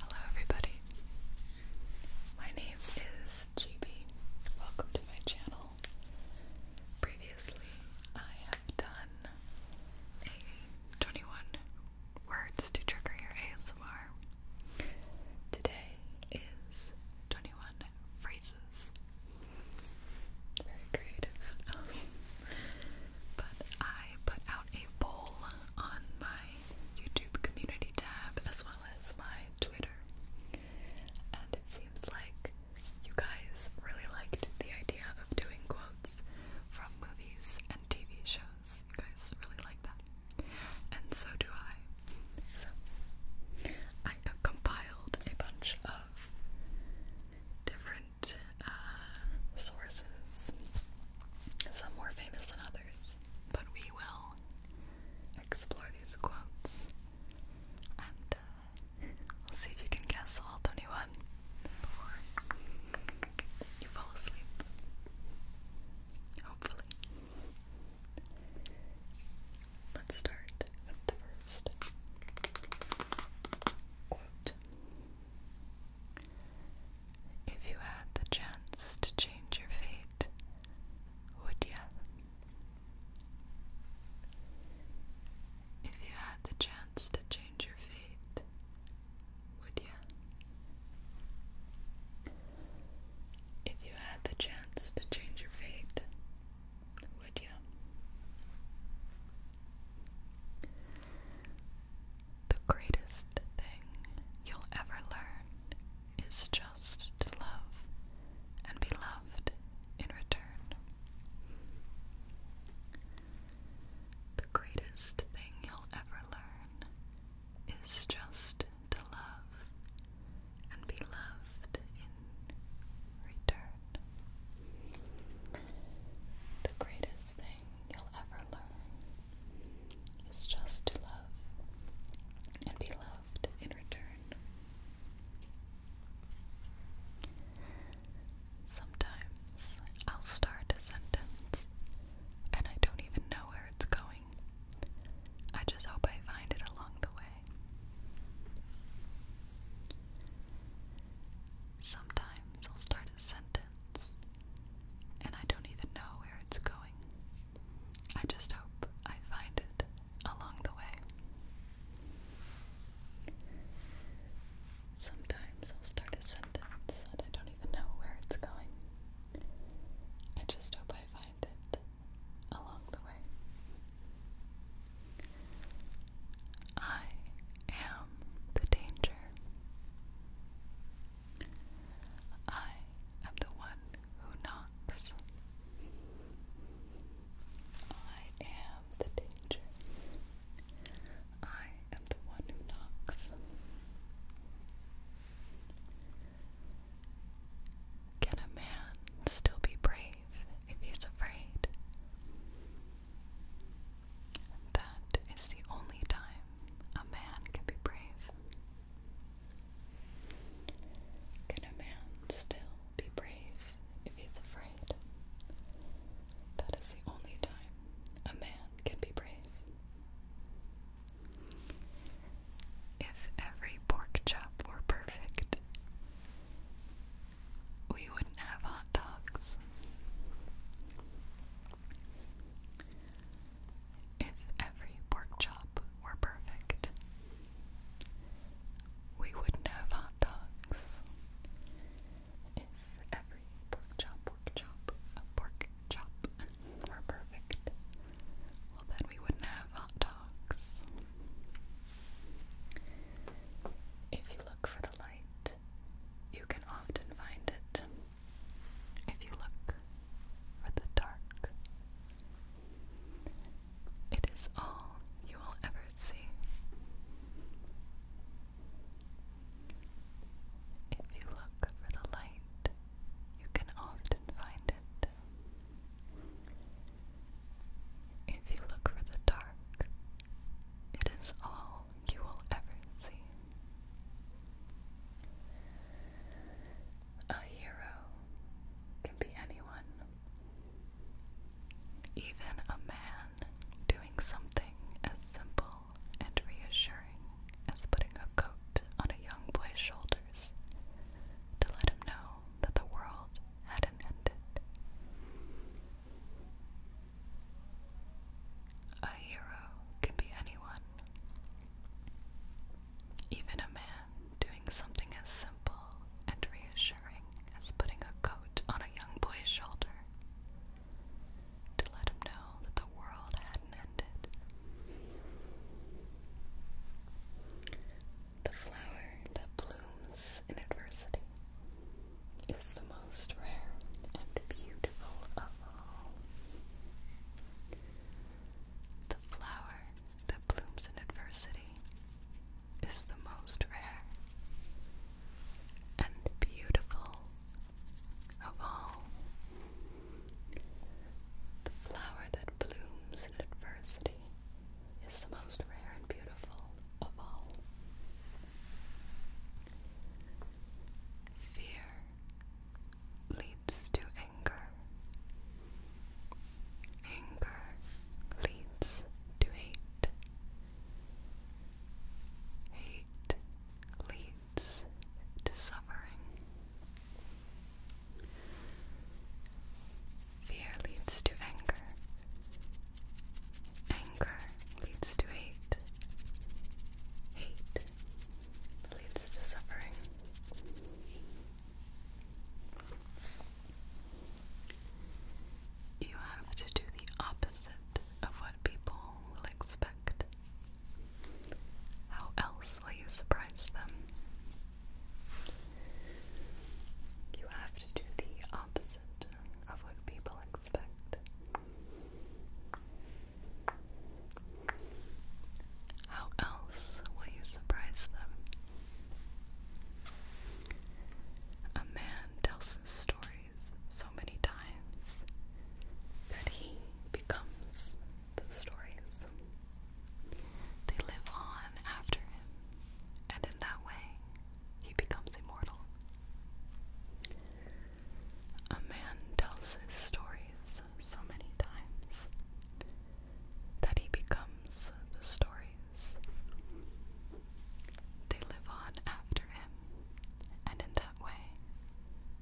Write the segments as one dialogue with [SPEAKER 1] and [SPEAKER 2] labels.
[SPEAKER 1] Hello, everybody. My name is GB. Welcome to my channel. Previously, I have done a 21 words to trigger your ASMR. Today is 21 phrases. Very creative. Um, but I put out a poll on my YouTube community tab as well as my Twitter. And it seems like you guys really liked the idea of doing quotes from movies and TV shows. You guys really like that. And so do I. So I have compiled a bunch of different different uh, sources, some more famous than others, but we will explore these quotes and uh, see if you can guess all 21 before you fall asleep. Hopefully. Let's start with the first quote. If you had the chance to change your fate, would you? If you had the chance to change your fate, would ya? If you had the chance to change your fate, would you? The greatest thing you'll ever learn is just to love and be loved in return. The greatest thing you'll ever learn is just to love and be loved in return. The greatest thing you'll ever learn is just to love and be loved in return. Sometimes I'll start a sentence and I don't even know where it's going. I just hope I find it along the way. Sometimes I'll start a sentence and I don't even know where it's going. I just hope I find it along the way. Sometimes I'll start a sentence and I don't even know where it's going. I just hope I find it along the way. I am the danger. I am the one who knocks. I am the danger. I am the one who knocks. Can a man still be brave if he's afraid? That is the only time a man can be brave. Can a man still be brave if he's afraid? That is the only time a man can be brave. If every pork chop were perfect, we wouldn't have hot dogs. If every pork chop were perfect, we wouldn't have hot dogs. If every pork chop, pork chop, a pork chop were perfect, well then we wouldn't have hot dogs. If you look for the light, you can often find it. If you look for the dark, it is all you will ever see. If you look for the light, you can often find it. If you look for the dark, it is all you will ever see. A hero can be anyone, even a man doing something as simple and reassuring as putting a coat on a young boy's shoulders to let him know that the world hadn't ended. A hero can be anyone, even a man doing something as simple and reassuring as putting a coat on a young boy's shoulder to let him know that the world hadn't ended. The flower that blooms in adversity is the most rare and beautiful of all. The flower that blooms in adversity is the most rare and beautiful of all. The flower that blooms adversity is the most rare and beautiful of all. Fear leads to anger. Anger leads to hate. Hate leads to suffering. Fear leads to anger. Anger leads to hate. Hate leads to suffering. You have to do the opposite of what people will expect. How else will you surprise them? You have to do the opposite of what people expect. How else will you surprise them? A man tells his stories so many times that he becomes the stories. They live on after him, and in that way, he becomes immortal. A man tells his stories so many times that he becomes the stories. They live on after him, and in that way,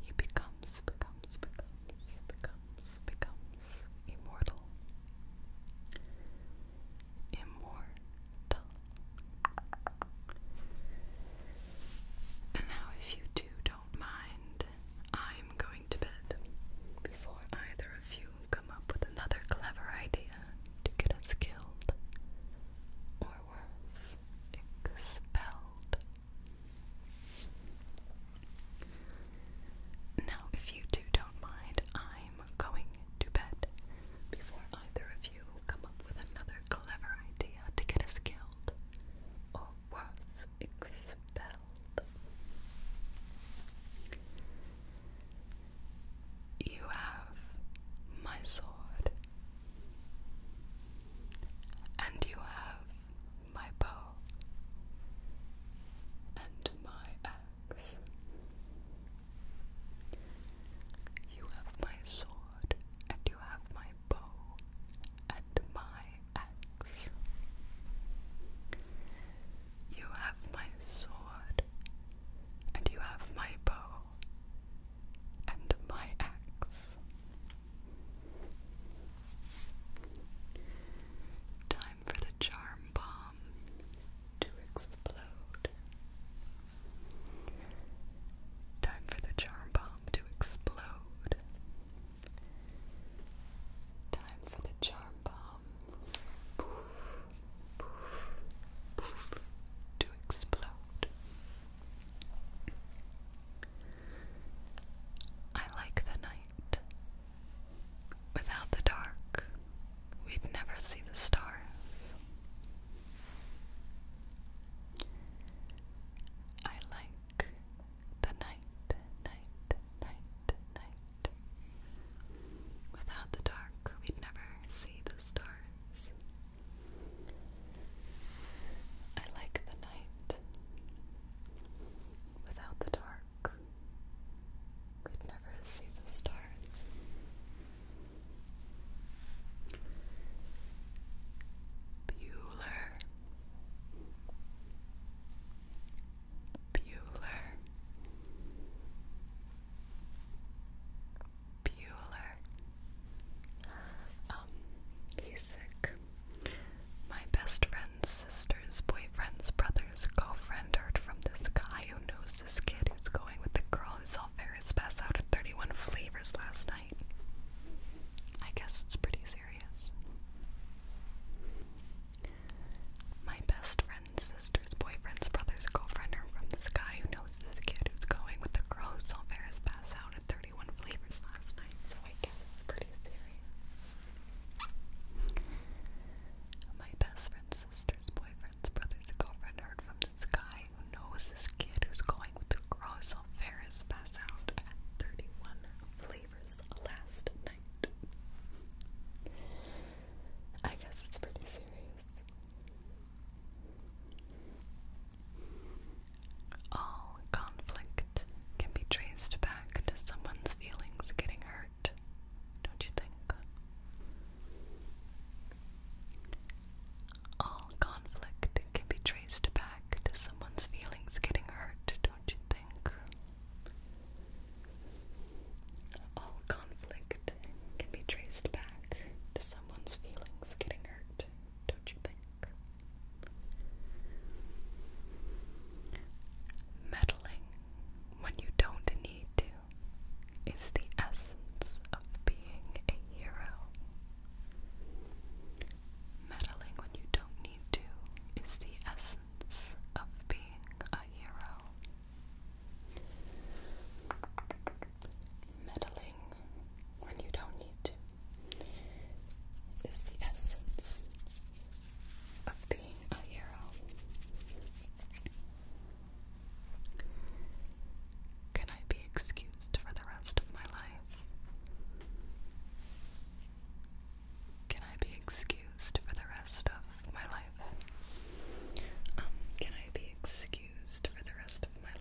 [SPEAKER 1] he becomes, becomes, becomes, becomes, becomes immortal. Immortal. And now, if you two don't mind, I'm going to bed before either of you come up with another clever idea to get us killed or worse, expelled. Now, if you two don't mind, I'm going to bed before either of you come up with another clever idea to get us killed or worse, expelled. You have my sword, and you have my bow, and my arrow. You have my sword, and you have my bow, and my axe. You have my sword, and you have my bow, and my axe. Time time for the charm bomb to explode. Time for the charm bomb to explode. Time for the charm bomb poof, poof, poof, to explode. I like the night. Without the dark, we'd never see the stars. I like the night, night, night, night. Without the dark, we'd never see the stars. I like the night. Without the dark, could never see the stars. Bueller. Bueller. Bueller. Um, he's sick. My best friend friends, sisters, boyfriends, brothers, girlfriend heard from this guy who knows this kid who's going with the girl who saw Ferris pass out at 31 flavors last night. I guess it's pretty serious. My best friends, sisters, boyfriends, brothers, girlfriend heard from this guy who knows this kid who's going with the girl who saw Ferris pass out at 31 flavors last night, so I guess it's pretty serious. My best friend's sister's boyfriend's brother's girlfriend heard from this guy who knows this kid who's going with the cross on Ferris pass out at 31 flavors last night. I guess it's pretty serious. All conflict can be traced back to someone's feelings getting hurt, don't you think? All conflict can be traced back to someone's feelings getting hurt, don't you think? All conflict can be traced back to someone's feelings getting hurt, don't you think? Meddling when you don't need to is the essence of being a hero. Meddling when you don't need to is the essence of being a hero. Meddling when you don't need to is the essence of being a hero. Can I be excused for the rest of my life? Can I be excused for the rest of my life? Um, can I be excused for the rest of my life?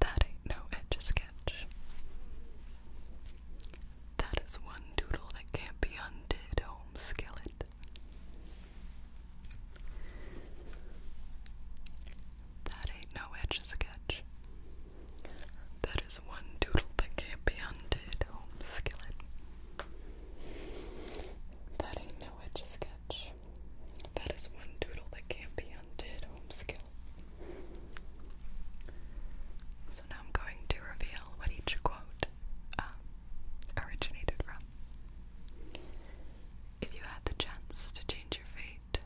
[SPEAKER 1] That ain't no edge sketch. That is one doodle that can't be undid, home skillet. That ain't no edge sketch. That is one doodle that can't be undid, home skillet. That ain't no edge sketch. That is one doodle that can't be undone. Oh, home So now I'm going to reveal what each quote um, originated from. If you had the chance to change your fate,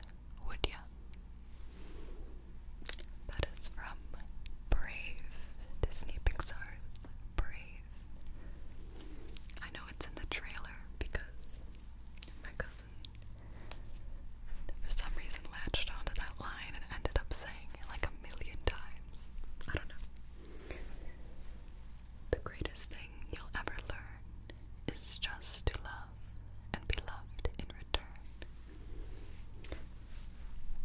[SPEAKER 1] would ya? That is from Brave Disney Pixar's Brave. I know it's in the trailer because my cousin, for some reason, latched onto that line and ended up saying it like a million times. I don't know. The greatest thing you'll ever learn is just to love and be loved in return.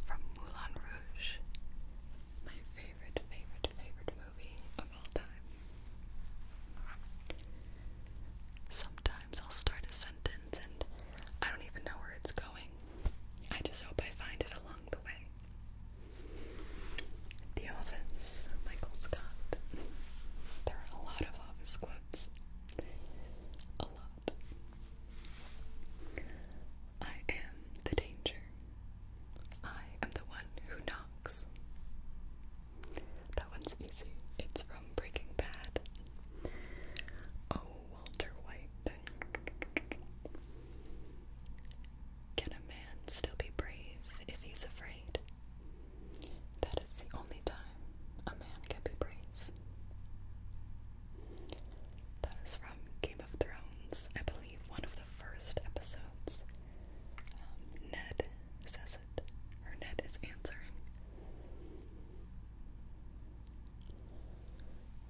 [SPEAKER 1] From Moulin Rouge, my favorite, favorite, favorite movie Sometimes I'll start a sentence and I don't even know where it's going. I just hope I find it along the way. The Office, Michael Scott. There are a lot of Office quotes. A lot. I am the danger. I am the one who knocks. That one's easy. It's from Breaking Bad. Oh, Walter White. Can a man still be brave if he's afraid? That is the only time a man can be brave. That is from Game of Thrones, I believe one of the first episodes. Um, Ned says it, or Ned is answering.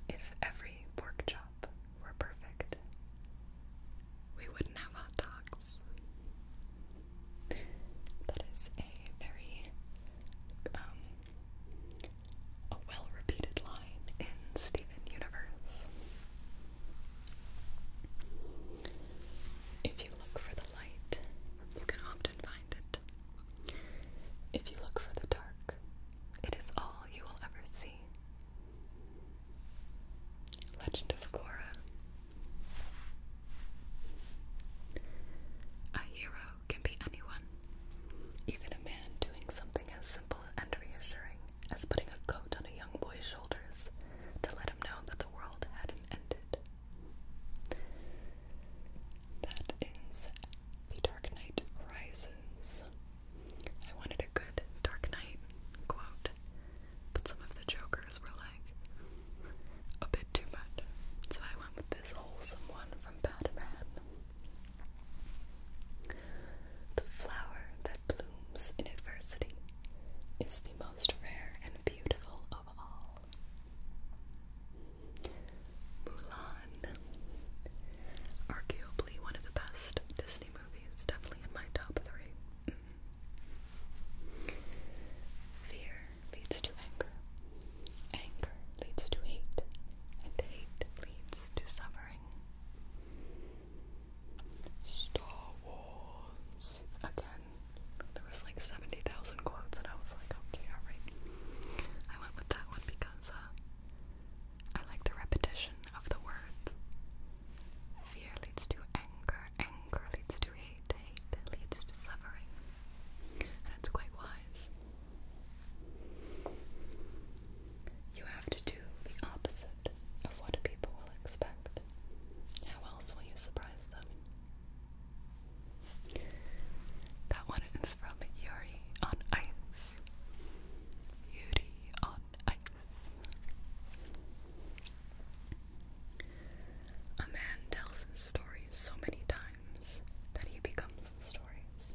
[SPEAKER 1] If every pork chop were perfect, we wouldn't have hot dogs. That is a very um a well repeated line in Steven Universe. If you look for the light, you can often find it. If you look for the dark, it is all you will ever see. Legend of Korra. A hero can be anyone, even a man doing something as simple and reassuring as putting a coat on a young boy's shoulders to let him know that the world hadn't ended. That The Dark Knight Rises. I wanted a good Dark Knight quote, but some of the jokers were like a bit too much, so I went with this wholesome one from Batman. The flower that blooms in adversity is the most rare and beautiful of all. Mulan, arguably one of the best Disney movies, definitely in my top three. Mm-hmm. Fear leads to anger, anger leads to hate, and hate leads to suffering. Star Wars. Again, there was like 70,000 quotes and I was like, okay, alright. I went with that one because uh, I like the repetition of the words. Fear leads to anger, anger leads to hate, hate leads to suffering. And it's quite wise. You have to do the opposite of what people will expect. How else will you surprise them? That one is from Yuri on Ice. Yuri on Ice. A man tells his stories so many times that he becomes stories.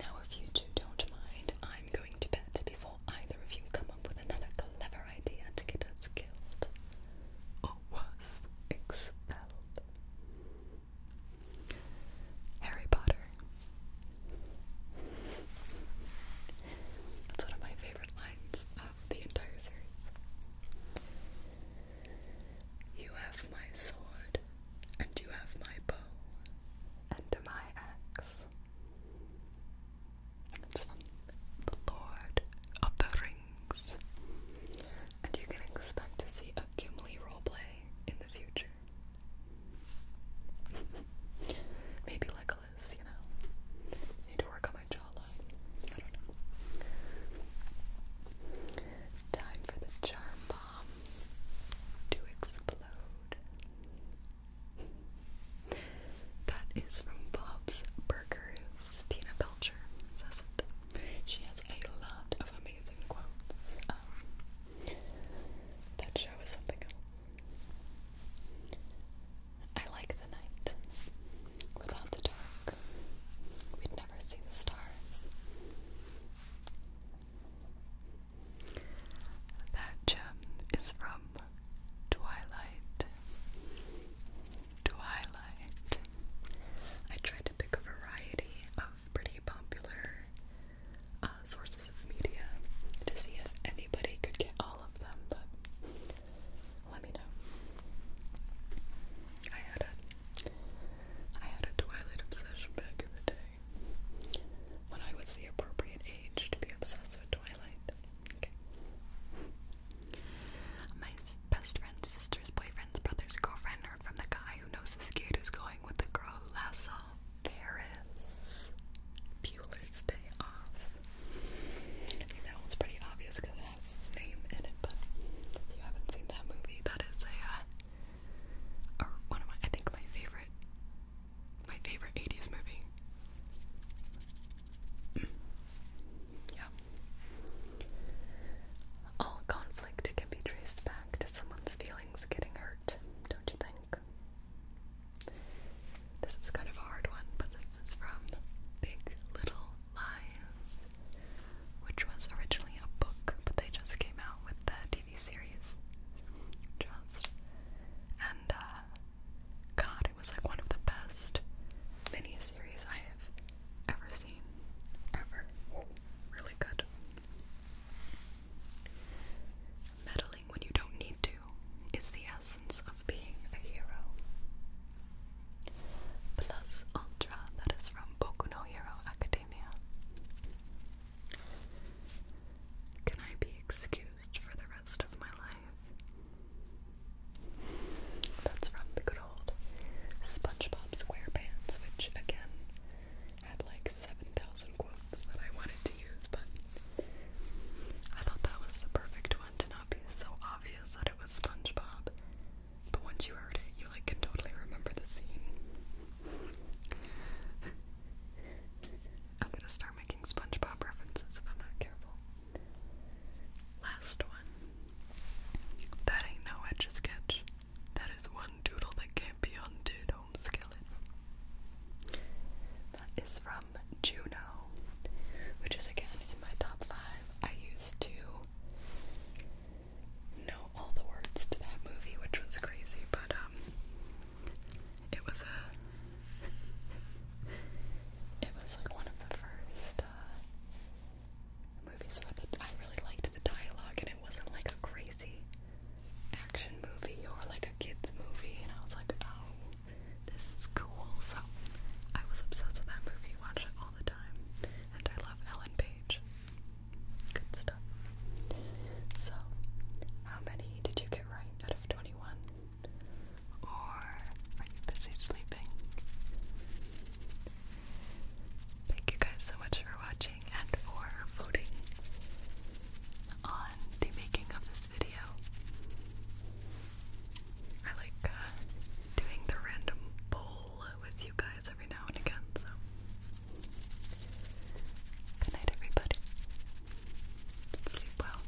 [SPEAKER 1] Now, if you two don't mind, I'm going to bed before either of you come up with another clever idea to get us killed. Or expelled. Harry Potter. That's one of my favorite lines of the entire series. You have my sword, and you have my bow, and my axe. It's from the Lord of the Rings. And you can expect to see a Gimli roleplay in the future. Maybe Legolas, you know. need to work on my jawline. I don't know. Time for the charm bomb to explode. that is from Bob's Burgers. Tina Belcher says it. She has a lot of amazing quotes. Um, that show is something I like the night. Without the dark, we'd never see the stars. That gem is from Twilight. Twilight. I tried to pick a variety of pretty popular uh, sources of media to see if anybody could get all of them, but let me know. I had a I had a Twilight obsession back in the day when I was the appropriate age to be obsessed with Twilight. My best friend's sister's boyfriend's brother's girlfriend heard from the guy who knows this kid who's going with the girl who last saw Ferris Bueller's Day Off. I think that one's pretty obvious because it has his name in it, but if you haven't seen that movie, that is a uh, or one of my, I think my favorite, my favorite 80s movie. Mm. yeah. All conflict can be traced back to someone's feelings getting hurt, don't you think? This is kind of a hard one, but this is from Big Little Lies which was originally a book, but they just came out with the TV series. Just and uh, God, it was like one of the best series I have ever seen, ever. Really good. Meddling when you don't need to is the essence of being a hero. Plus Ultra, that is from Boku no Hero Academia. Can I be excused for the rest of my life? That's from the good old SpongeBob SquarePants, which again had like 7,000 quotes that I wanted to use, but I thought that was the perfect one to not be so obvious that it was SpongeBob. But once you heard it, you like can totally remember the scene. I'm gonna start making SpongeBob references if I'm not careful. Last one. That ain't no etch sketch. That is one doodle that can't be undid, home skillet. That is from Juno, which is again in my top five. I used to know all the words to that movie, which was crazy, but um it was a it was like one of the first uh movies where the, I really liked the dialogue and it wasn't like a crazy action movie or like a kids movie and I was like, oh, this is cool. So I was obsessed with that movie, watched it all the time, and I love Ellen Page. Good stuff. So, how many did you get right out of 21? Or are you busy sleeping? Thank you guys so much for watching and for voting on the making of this video. I like uh, doing the random poll with you guys every now and again, so good everybody. Sleep well.